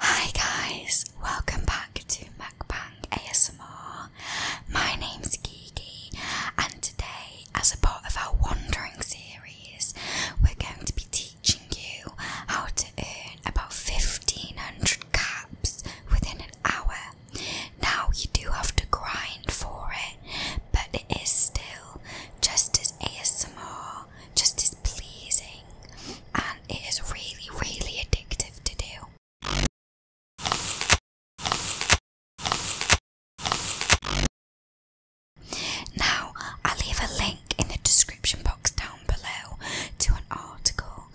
Hi guys, welcome back to Mukbang ASMR. My name's Gigi, and today, as a part of our wandering series, we're going to be teaching you how to earn about 1500 caps within an hour. Now, you do have to grind for it, but it is still just as ASMR just as pleasing and it is really, really addictive to do. Now, I'll leave a link in the description box down below to an article.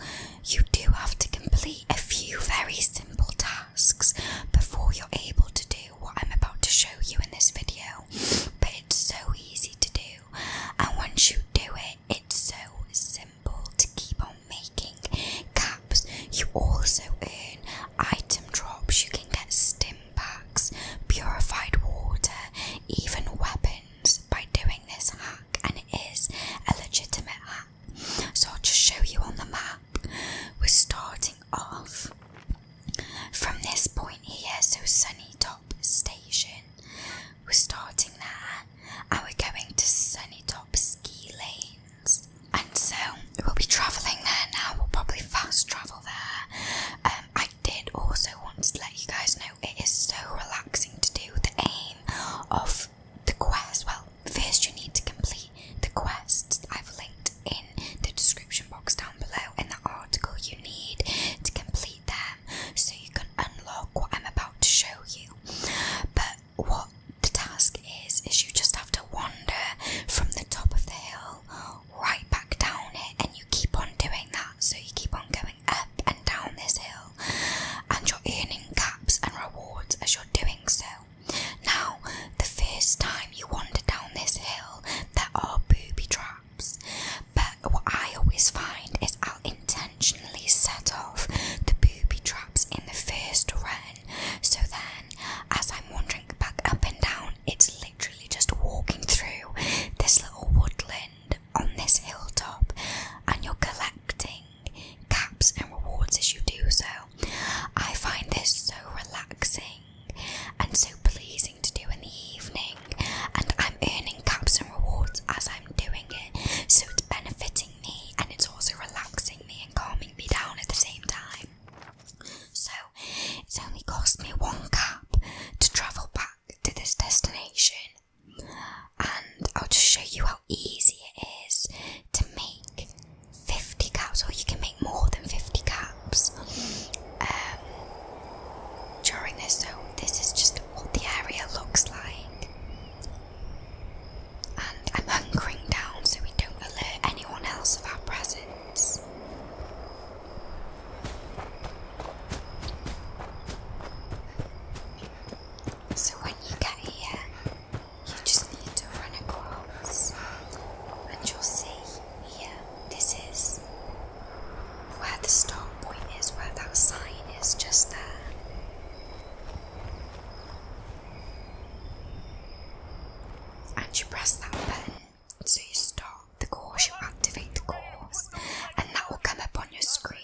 You do have to complete a few very simple tasks before you're able to do what I'm about to show you in this video, but it's so easy to do, and once you do it. It's so simple to keep on making caps. You also earn item drops. You can get stim packs, purified water, even weapons by doing this hack, and it is a legitimate hack. So I'll just show you on the map. We're starting off from this point here, so Sunny Station. We're starting there and we're going to Sunny Top Ski Lanes. And so we'll be travelling there now, we'll probably fast travel there. Um, I did also want to let you guys know it is so relaxing to do. The aim of the quest, well, first you need to complete the quests I've linked in the description box down down below in the article you need to complete them so you can unlock what I'm about to show you. But what the task is, is you just have to wander from the top of the hill right back down it, and you keep on doing that. So you keep on going up and down this hill, and you're earning caps and rewards as you're doing so. Now, the first time you wander down this hill, there are booby traps, but what I always find is I'll intentionally set off the booby traps in the first run. So then, as I'm wandering back up and down, it's literally just walking through this little woodland on this hilltop, and you're collecting caps and rewards as you do so. I find this so relaxing and so pleasing to do in the evening, and I'm earning caps and rewards as I'm doing it, so it's benefiting me and it's also relaxing me and calming me down at the same time. So it's only cost me one cap to travel back to this destination, and I'll just show you how easy it is to make 50 caps, or you can make more than 50 caps. Um, during this. So this is just what the area looks like. And I'm hunkering down so we don't alert anyone else of our presence. So when you get here, you just need to run across and you'll see here, this is where the start point is, where that sign is just there. And you press that button, so you stop the course, you activate the course, and that will come up on your screen.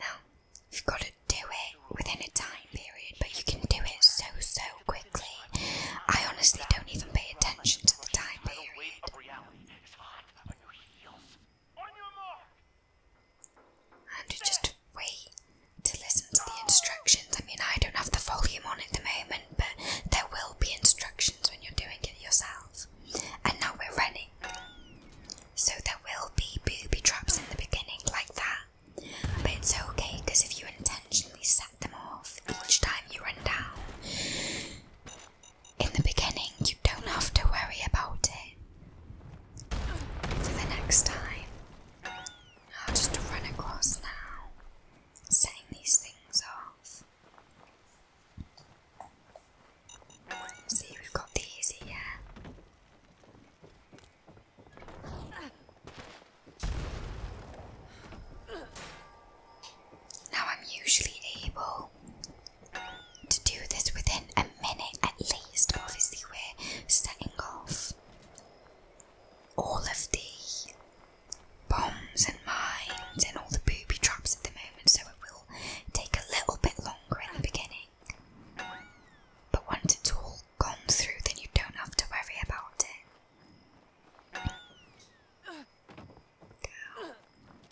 Now, you've got to do it within a time period, but you can do it so, so quickly. I honestly don't even pay attention to the time period. And just wait to listen to the instructions. I mean, I don't have the volume on at the moment, but there will be instructions when you're doing it yourself. And now we're ready. So there will be booby traps in the beginning, like that. But it's okay because if you intentionally set them off each time you run down, in the beginning you don't have to worry about it. For the next time, I'll just run across now, setting these things off. See, we've got these here. Now I'm usually able to do this within a minute at least. Obviously, we're setting off all of the bombs and mines and all the booby traps at the moment, so it will take a little bit longer in the beginning. But once it's all all through, then you don't have to worry about it.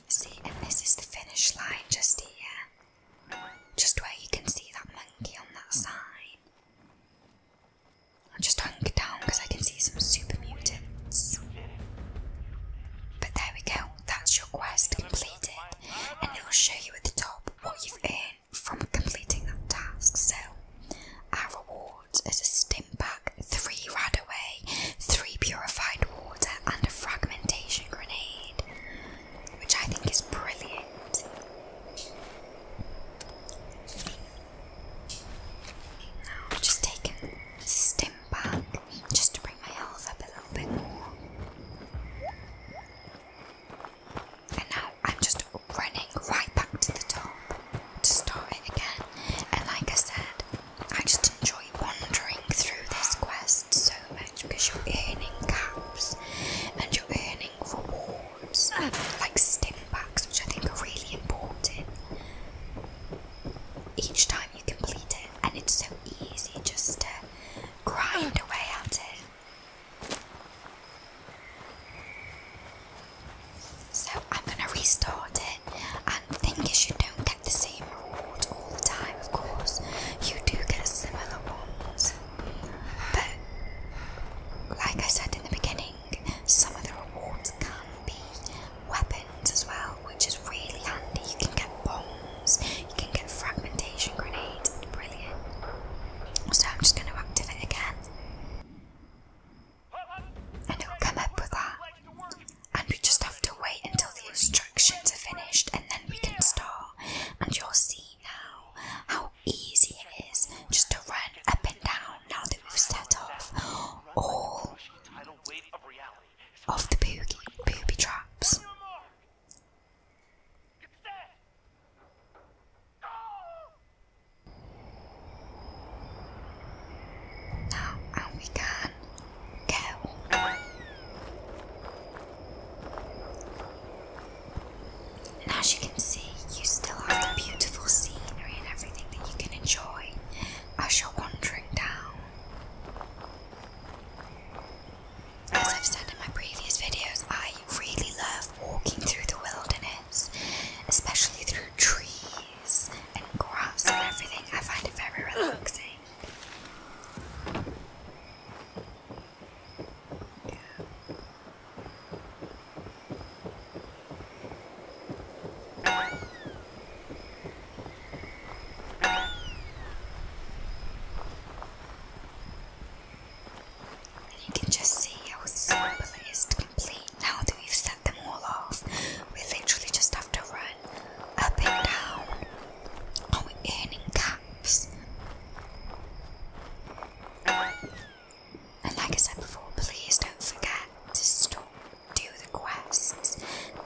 See, and this is the finish line just here. Just where you can see that monkey on that sign. I'll just hunker down because I can see some super mutants. But there we go, that's your quest completed, and it'll show you at the top what you've earned from completing that task. So, our reward is a stimpack, three rad away, three purified water, and a fragmentation grenade, which I think is brilliant. Now just taken the stimpack just to bring my health up a little bit more. And now I'm just running right back to the top to start it again. And like I said, I just enjoy wandering through this quest so much because you're earning caps and you're earning rewards um, like stim packs, which I think are really important each time you complete it. And it's so easy just to grind away at it. So I'm gonna restart it, and the thing is, you don't get the same reward all the time, of course. You do get similar ones, but like I said in the beginning, some of the rewards can be weapons as well, which is really handy. You can get bombs. You can get fragmentation grenade, brilliant. So I'm just going to activate again, and it'll come up with that. And we just have to wait until the instructions are finished, and then we can start. And you'll see now how easy it is just to run up and down now that we've set off all of the booby, booby traps. Now we can go. And as you can see, you still have the beautiful scenery and everything that you can enjoy as you're wandering down. As I've said in my previous videos, I really love walking through the wilderness, especially through trees and grass and everything. I find it very relaxing. You can just see how simple it is to complete now that we've set them all off. We literally just have to run up and down. Oh, we earning caps. And like I said before, please don't forget to stop, do the quests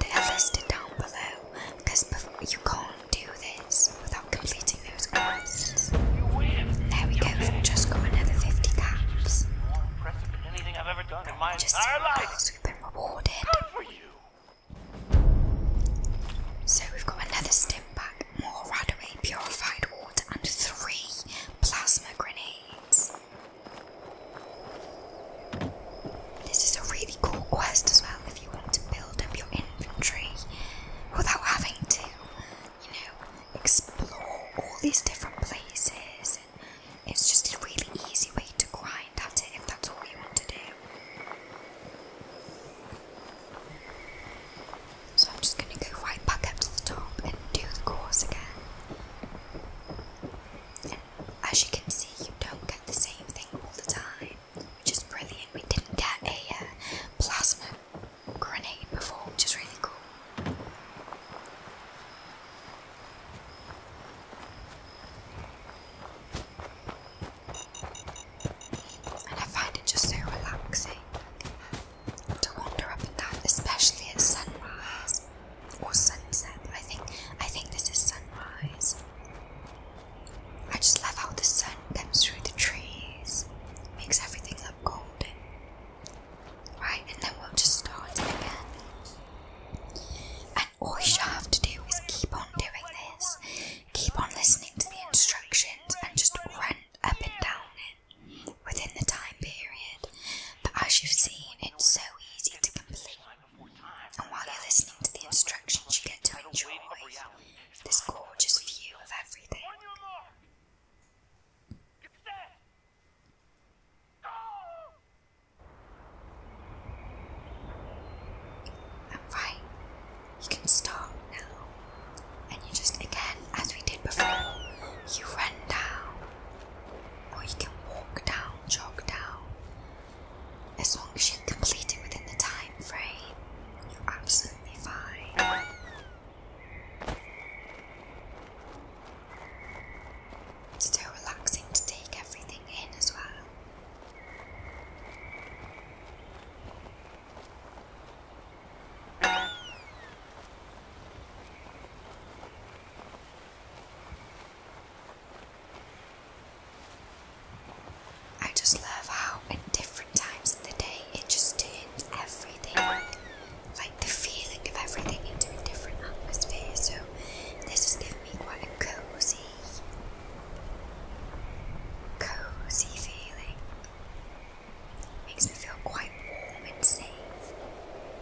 that are listed down below because before you go do this without completing those quests. we go, just got another 50 caps. Just because we've been rewarded. So we've got another stim pack, more Radaway purified water, and three plasma grenades. This is a really cool quest as well if you want to build up your inventory without having to, you know, explore all these different places. it's just a really easy way to grind at if that's all you want to do. So I'm just going to go right back up to the top and do the course again. as you can see, you don't get the same thing all the time which is brilliant. We didn't get a uh, plasma grenade before, which is really cool. And I find it just so relaxing to wander up and down, especially at sunrise or sunset. I think I think this is sunrise. I just love how the sun comes through the trees, makes everything look golden. Right, and then we'll just start again. And all you have to do is keep on doing this, keep on listening to the instructions, and just run up and down it within the time period. But as you've seen, it's so easy to complete. And while you're listening to the instructions, you get to enjoy this gorgeous view of everything. And you can start now. And you just, again, as we did before, you run down, or you can walk down, jog down, as long as you complete it within the time frame, you're absolutely fine. It's still relaxing to take everything in as well. I just love how at different times of the day it just turns everything, like the feeling of everything, into a different atmosphere. So this has given me quite a cozy, cozy feeling. Makes me feel quite warm and safe,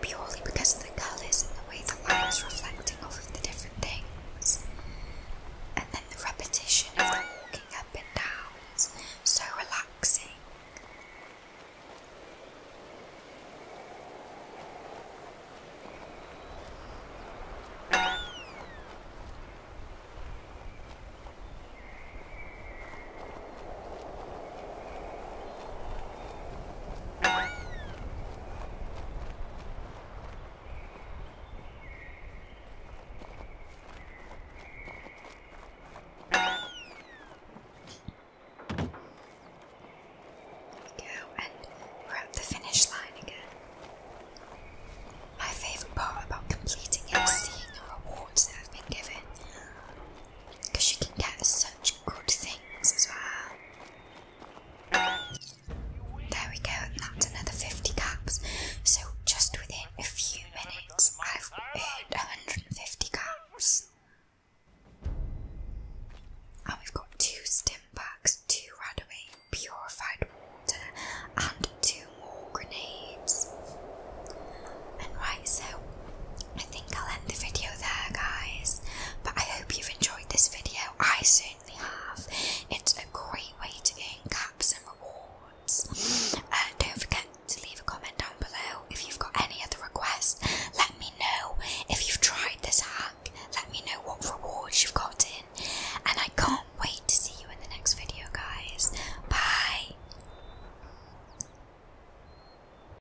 purely because of the colours and the way the light is reflected counting the different things, and then the repetition of the walking up and down is so relaxing. Go and we're at the finish line again. My favourite part about completing it is seeing the rewards that have been given. Because you can get such good things as well. There we go, and that's another 50 caps. So just within a few minutes, I've earned 150 caps. And we've got two stim packs, two Radaway purified water, and two more grenades. And right, so I think I'll end the video there, guys. But I hope you've enjoyed this video. I certainly have. It's a great way to earn caps and rewards. Uh, don't forget to leave a comment down below if you've got any other requests. Let me know if you've tried this hack. Let me know what rewards you've gotten. And I can't wait to see you in the next video, guys. Bye.